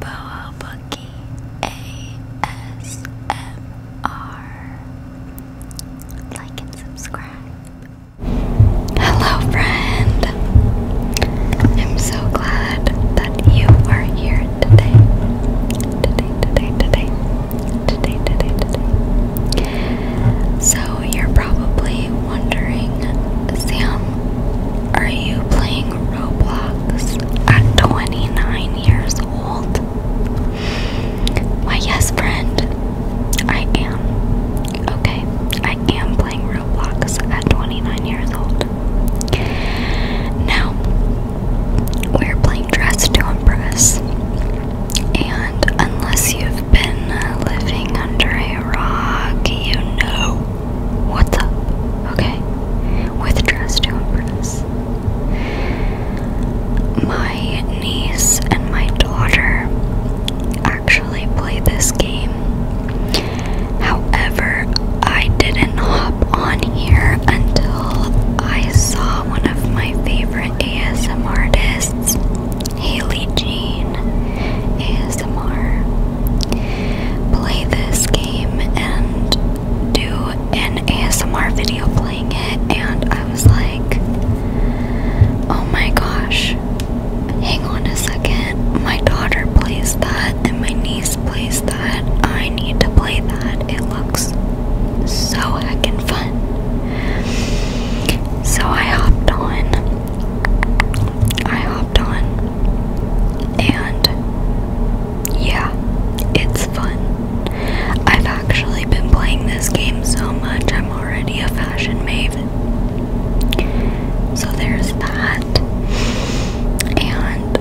Boa Bookie ASMR. Like and subscribe. Hello, friend. I'm so glad that you are here today. Today, today, today. Today, today, today. So, you're probably wondering, Sam, are you playing Roblox at 29 years old? My yes, friend, I am. Okay, I am playing Roblox at 29 years old. Now, we're playing Dress to Impress. And unless you've been living under a rock, you know what's up, okay? With Dress to Impress. My niece and my daughter actually play this game. However, I didn't hop on here until I saw one of my favorite ASM artists, Haley Jean, is. ASMR, play this game and do an ASMR video playing it, and I was like, oh my gosh, hang on a second. My daughter plays that, and my niece plays that. I need to play that. It looks so heckin' fun. So I hopped on. I hopped on, and yeah, it's fun. I've actually been playing this game so much, I'm already a fashion maven. So there's that. And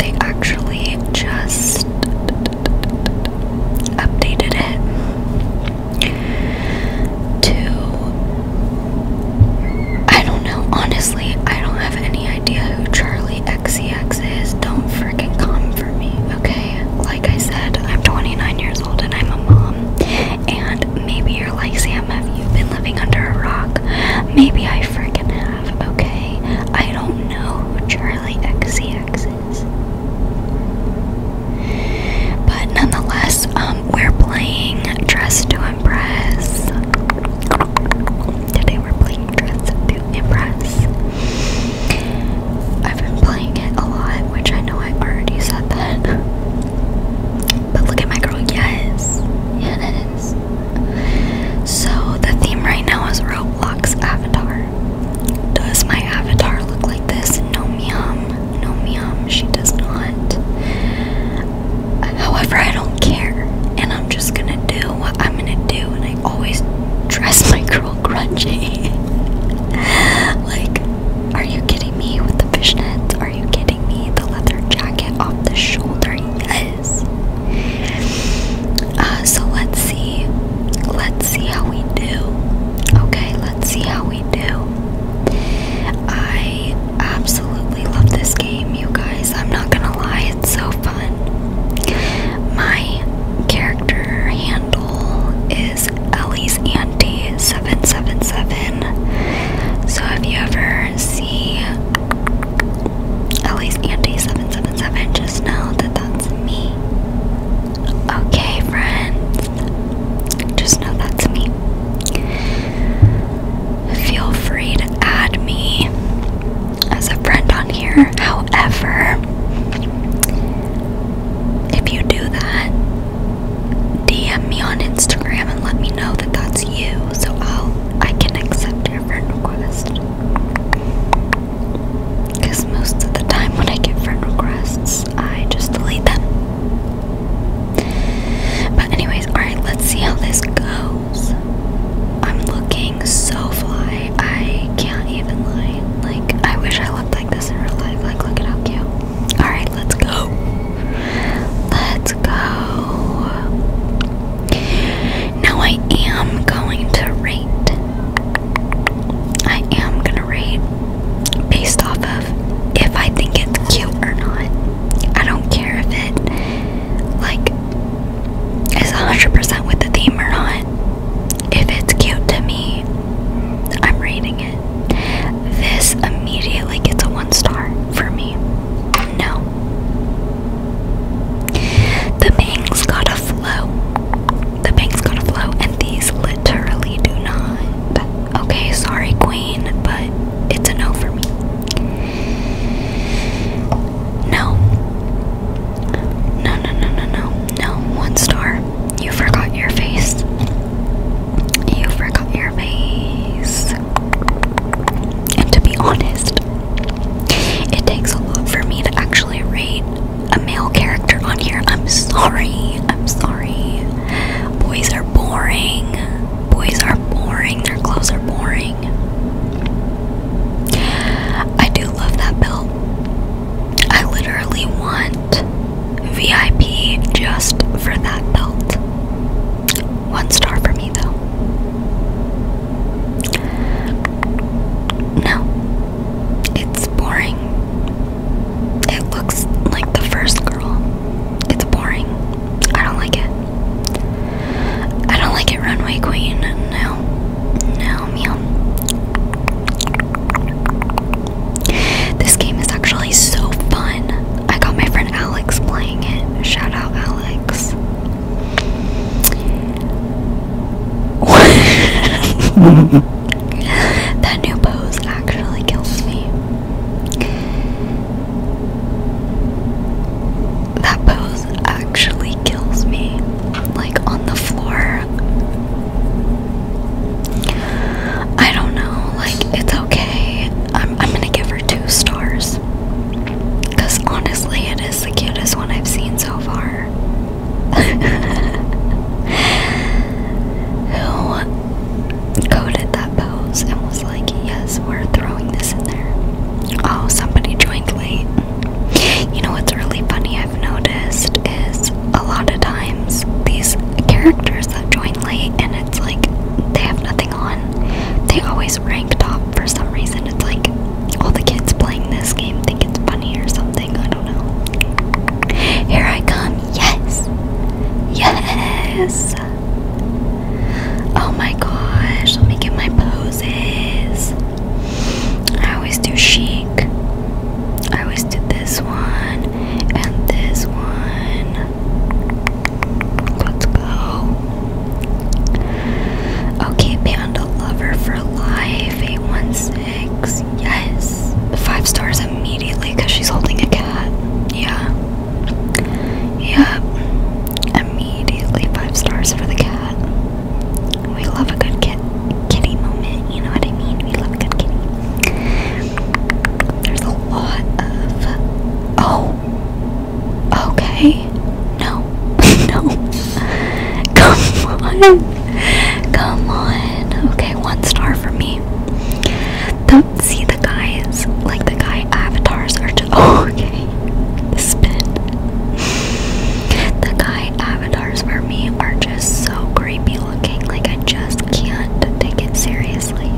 they actually just updated it to I don't know. Honestly, I don't have any idea who Charlie XCX is. Don't freaking come for me, okay? Like I said, I'm 29 years old and I'm a mom. And maybe you're like, Sam, have you been living under a rock? Maybe I freaking have, okay? I don't know who Charlie XCX is. But nonetheless, um, we're playing Dress to Impress. Today we're playing Dress to Impress. I've been playing it a lot, which I know I already said that. But look at my girl, yes. Yes. So the theme right now is Roblox Avatar. Does my avatar look like this? No meow. No, ma'am, she does not. However, I don't care, and I'm just gonna do what I'm gonna do, and I always dress my girl grungy. like, are you kidding me with the fishnets? Are you kidding me? The leather jacket off the shoulder, yes. Uh, so let's see. Let's see how we do. Okay, let's see how we do. I absolutely love this game, you guys. I'm not gonna lie, it's so fun. My character handle is Ellie's Anti 777. So if you ever see Ellie's Anti 777, just know that that's me. Okay, friends. Just know that's me. Feel free to add me as a friend on here. However, if you do that, DM me on Instagram and let me know that that's you, so I'll I can accept your friend request. Because most of the time when I get friend requests, I just delete them. But anyways, alright, let's see how this goes. I'm looking so fly. I can't even lie. Like, I wish I looked like this in real life. Like, look at how cute. Alright, let's go. Let's go. Now I am going to rate I am gonna rate based off of if I think it's cute or not. I don't care if it like is 100% with the theme or not. If it's cute to me, I'm rating it. This immediately gets a one star for me. No. The bangs got a flow the banks going to flow, and these literally do not. Okay, sorry, Queen, but it's a no for me. No. No, no, no, no, no, no. One star. You forgot your face. You forgot your face. And to be honest, it takes a lot for me to actually rate a male character on here. I'm sorry. I'm sorry. Boys are boring. Boys are boring. Their clothes are boring. I do love that belt. I literally want VIP just for that belt. One star for me, though. No, it's boring. It looks like the first girl. It's boring. I don't like it. I don't like it, Runway Queen. No. No, meow. This game is actually so fun. I got my friend Alex playing it. Shout out, Alex. that new pose actually kills me. That pose actually kills me. Like on the floor. I don't know, like it's okay. I'm I'm gonna give her two stars. Cause honestly it is the cutest one I've seen so far. Who coded that pose and was like, yes, we're throwing this in there? Oh, somebody joined late. You know what's really funny I've noticed is a lot of times these characters that join late and it's like they have nothing on, they always rank top for some reason. It's like all oh, the kids playing this game think it's funny or something. Here I come. Yes. Yes. Oh my gosh. Let me get my poses. I always do chic. I always do this one and this one. Let's go. Okay, Panda Lover for Life. A six. Yes. Five stars immediately because she's holding a cat. Yeah. Yep. Immediately five stars for the cat. We love a good kit kitty moment. You know what I mean? We love a good kitty. There's a lot of. Oh. Okay. No. no. Come on. Come on. Okay, one star for me. Don't see the guys, like the guy avatars are just. Oh, okay. spin. The guy avatars for me are just so creepy looking. Like, I just can't take it seriously.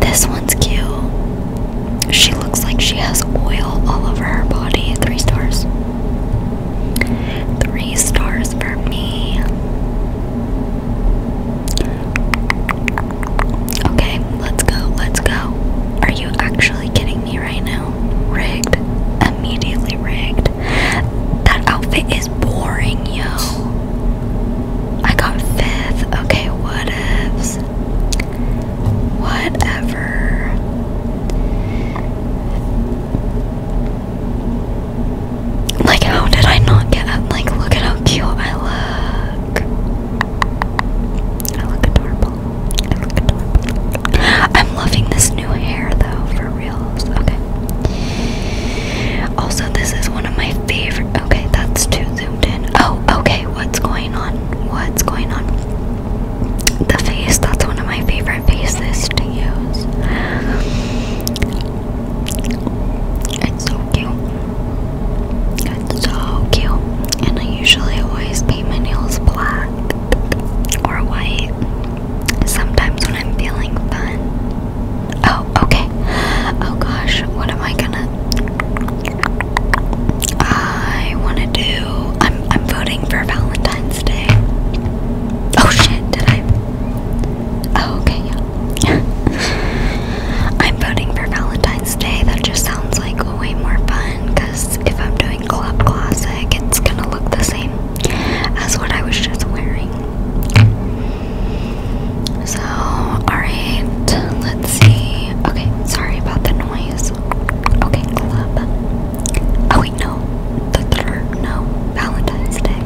This one's cute. She looks like she has oil all over her body. Three stars. Three stars for me. Okay, let's go, let's go. Are you actually kidding me right now? Rigged. Immediately rigged. That outfit is boring, yo. I got fifth. Okay, what ifs? Whatever. Like, how did I not get up? Like, look at how cute I look. I look adorable. I look adorable. I'm loving this new hair though, for reals. Okay. Also, this is one of my favorite. Okay, that's too zoomed in. Oh, okay. What's going on? What's going on? the face, that's one of my favorite faces to use. It's so cute. It's so cute. And I usually always paint my nails black or white. Sometimes when I'm feeling fun. Oh, okay. Oh gosh, what am I gonna? I want to do I'm I'm voting for Valentine's Day. Oh shit, did I? Oh okay, yeah. I'm voting for Valentine's Day. That just sounds like way more fun because if I'm doing Club Classic, it's gonna look the same as what I was just wearing. So, alright, let's see. Okay, sorry about the noise. Okay, club. Oh wait, no. The third, no. Valentine's Day.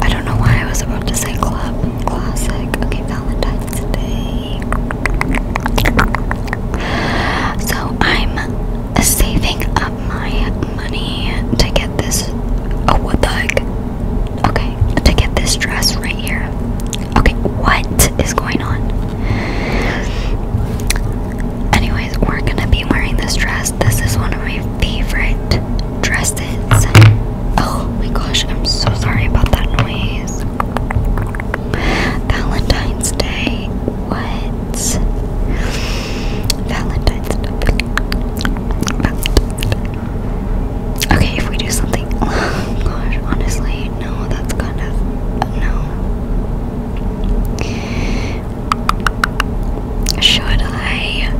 I don't know why I was about to say club. Classic. Okay, Valentine's Day. So I'm saving up my money to get this. Oh, what the heck? Okay, to get this dress right here. Okay, what is going on? Anyways, we're gonna be wearing this dress. This is one of my favorite dresses. Oh my gosh, I'm so sorry about that noise. Valentine's Day. What? Valentine's Okay, if we do something. Oh gosh, honestly, no, that's kind of. No. Should I?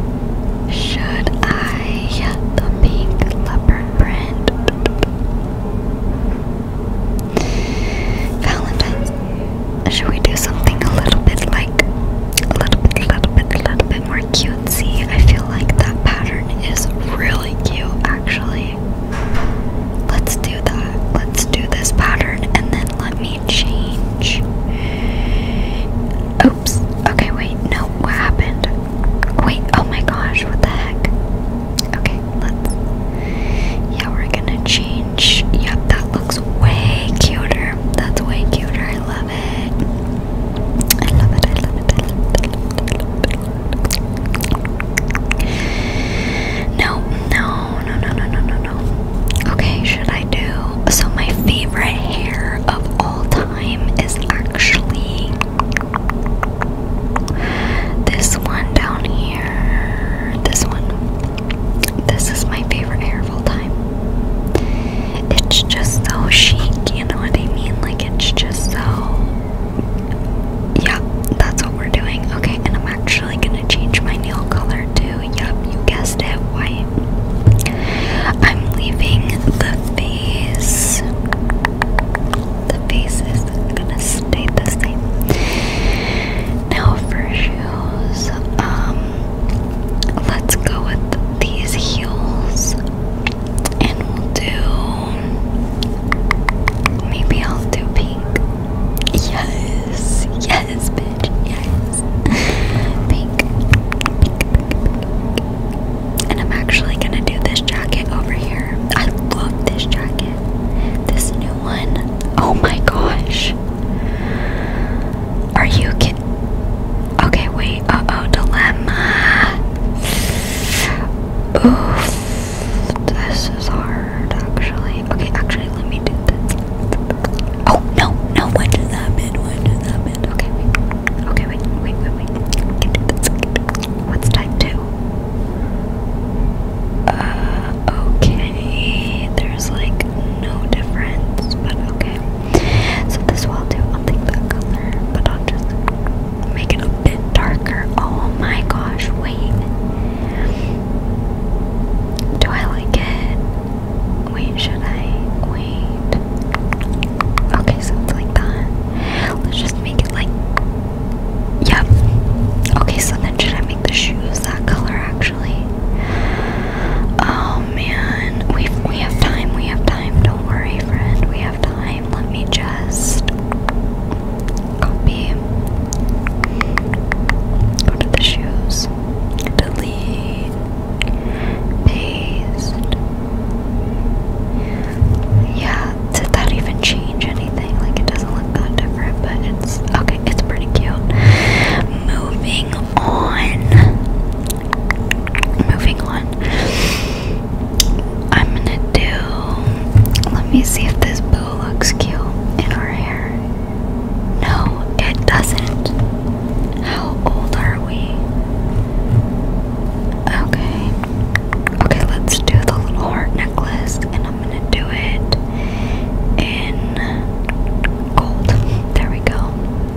Should I get the pink leopard print? Valentine's. Should we do something a little bit like a little bit, a little bit, a little bit more cutesy? I feel like that pattern is really cute, actually. Let's do that. Let's do this pattern and then let me change. Oops. Okay, wait. No, what happened? Wait. Oh my gosh, what the heck? Okay, let's. Yeah, we're gonna change. Yep, that looks way cuter. That's way cuter. I love it. I love it. I love it. No, no, no, no, no, no, no, no. Okay, should I do? So my favorite hair of all time is actually this one down here. This one. This is my favorite hair of all time. It's just so chic, you know what I mean? Like it's just so yeah, that's what we're doing. Okay, and I'm actually gonna change my nail color too. Yep, you guessed it, white. I'm leaving the face. The face is gonna stay the same. Now for shoes, um, let's go with these heels, and we'll do. Maybe I'll do pink. Yes, yes, bitch, yes. Pink. And I'm actually gonna do this jacket over here. I love this jacket. This new one. Oh my gosh. Are you kidding? Okay, wait. Uh oh, dilemma. Oof. This is hard, actually. Okay, actually, let me do this. Oh, no, no, one to that bit, one that Okay, wait. Okay, wait, wait, wait, wait. What's type two? Uh, okay. There's like no difference, but okay. So this will do. I'll take that color, but I'll just Make it a bit darker. Oh my gosh, wait. Do I like it? Wait, should I? Wait. Okay, so like that. Let's just make it like. Yep. Okay, so then should I make the shoes that color actually? Oh man. we we have time, we have time. Don't worry, friend. We have time. Let me just copy. Go the shoes. Delete. Paste. Yeah, did that even change anything? Like it doesn't look that different, but it's okay, it's pretty cute. Moving on. Moving on. I'm gonna do. Let me see if this bow looks cute in her hair. No, it doesn't. How old are we? Okay. Okay, let's do the little heart necklace, and I'm gonna do it in gold. There we go.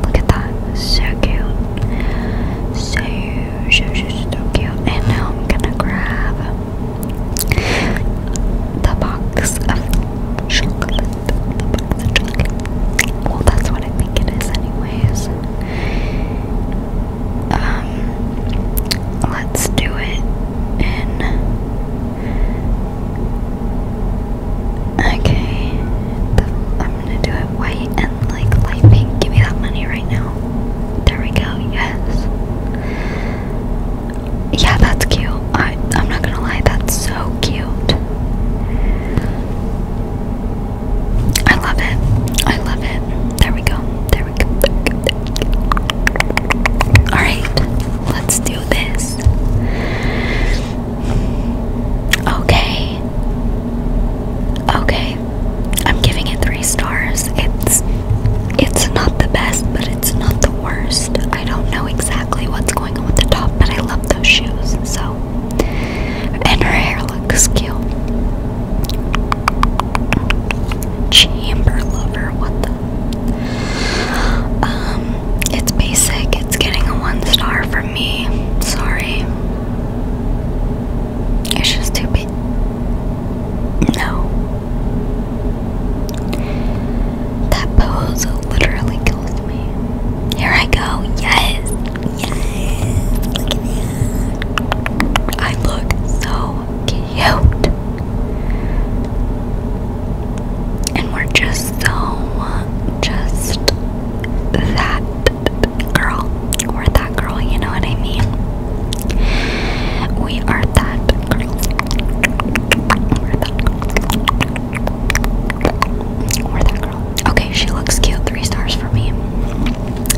Look at that. So cute. So She's so cute. And now I'm gonna grab the box of chocolate. Well, that's what I think it is, anyways. Um, let's do it Okay. I'm gonna do it white and like light pink. Give me that money right now. There we go. Yes. Yeah, that's cute. I I'm not gonna lie. That's so cute. I love it. I love it. There we go. There we go. There we go. All right. Let's do this. Okay. Okay, I'm giving it three stars. It's it's not the best, but it's not the worst. I don't know exactly what's going on with the top, but I love those shoes. So, and her hair looks cute. Chamber lover, what the? Um, it's basic. It's getting a one star from me. Sorry. It's just too big. No. That pose literally kills me. Here I go. Yes. Yes. I look so cute. And we're just so just that girl. We're that girl, you know what I mean? We are that girl. We're that girl. We're that girl. Okay, she looks cute. Three stars for me.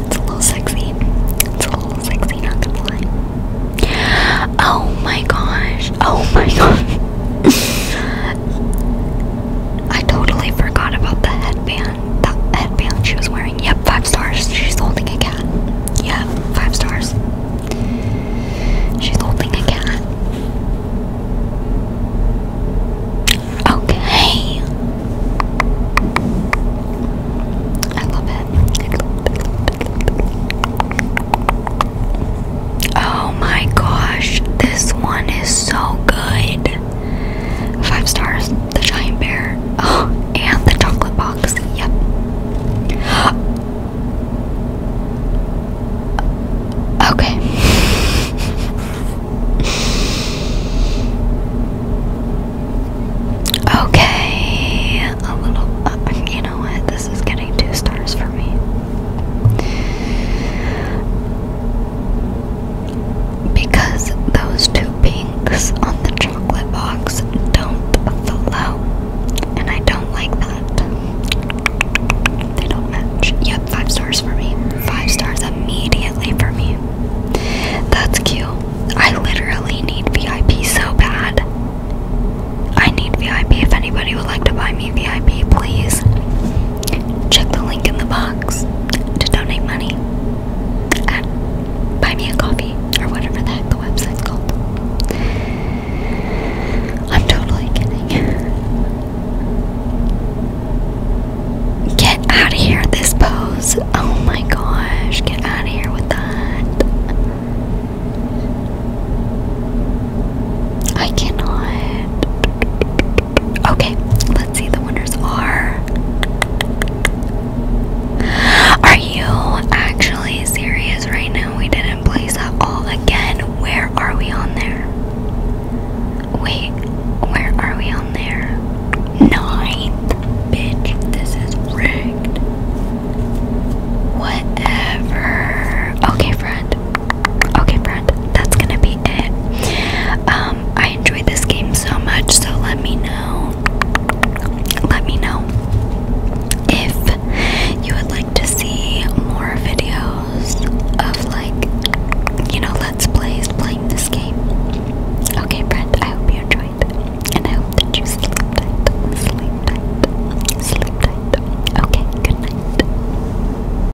It's a little sexy. It's a little sexy, not gonna lie. Oh my gosh. Oh my gosh. I totally forgot about the headband, that headband she was wearing. Yep, five stars. She's holding a cat. Yeah, five stars. She's holding a cat. Okay. I love it. Oh my gosh, this one is so good. Five stars. The giant bear. Oh, and the chocolate box. Yep. Okay. okay. A little. Uh, you know what? This is getting two stars for me because those two pinks on the chocolate box don't fill out, and I don't like that. They don't match. Yep, five stars for me. Five stars immediately for me. That's cute. I literally need VIP so bad. I need VIP. If anybody would like to buy me VIP, please. Check the link in the box to donate money Buy Me a Coffee or whatever the the website's called. I'm totally kidding. Get out of here, this pose. Oh my gosh, get out of here with that. I cannot. Okay, let's see. The winners are. Are you actually serious right now? We didn't place at all again. Where are we on there? Wait, where are we on there? Ninth, bitch. This is rigged. Whatever. Okay, friend. Okay, friend, that's gonna be it. Um, I enjoyed this game so much, so let me know. Let me know if you would like to see more videos of like, you know, let's plays playing this game. Okay, friend, I hope you enjoyed, and I hope that you sleep tight, sleep tight, sleep tight. Okay, good night.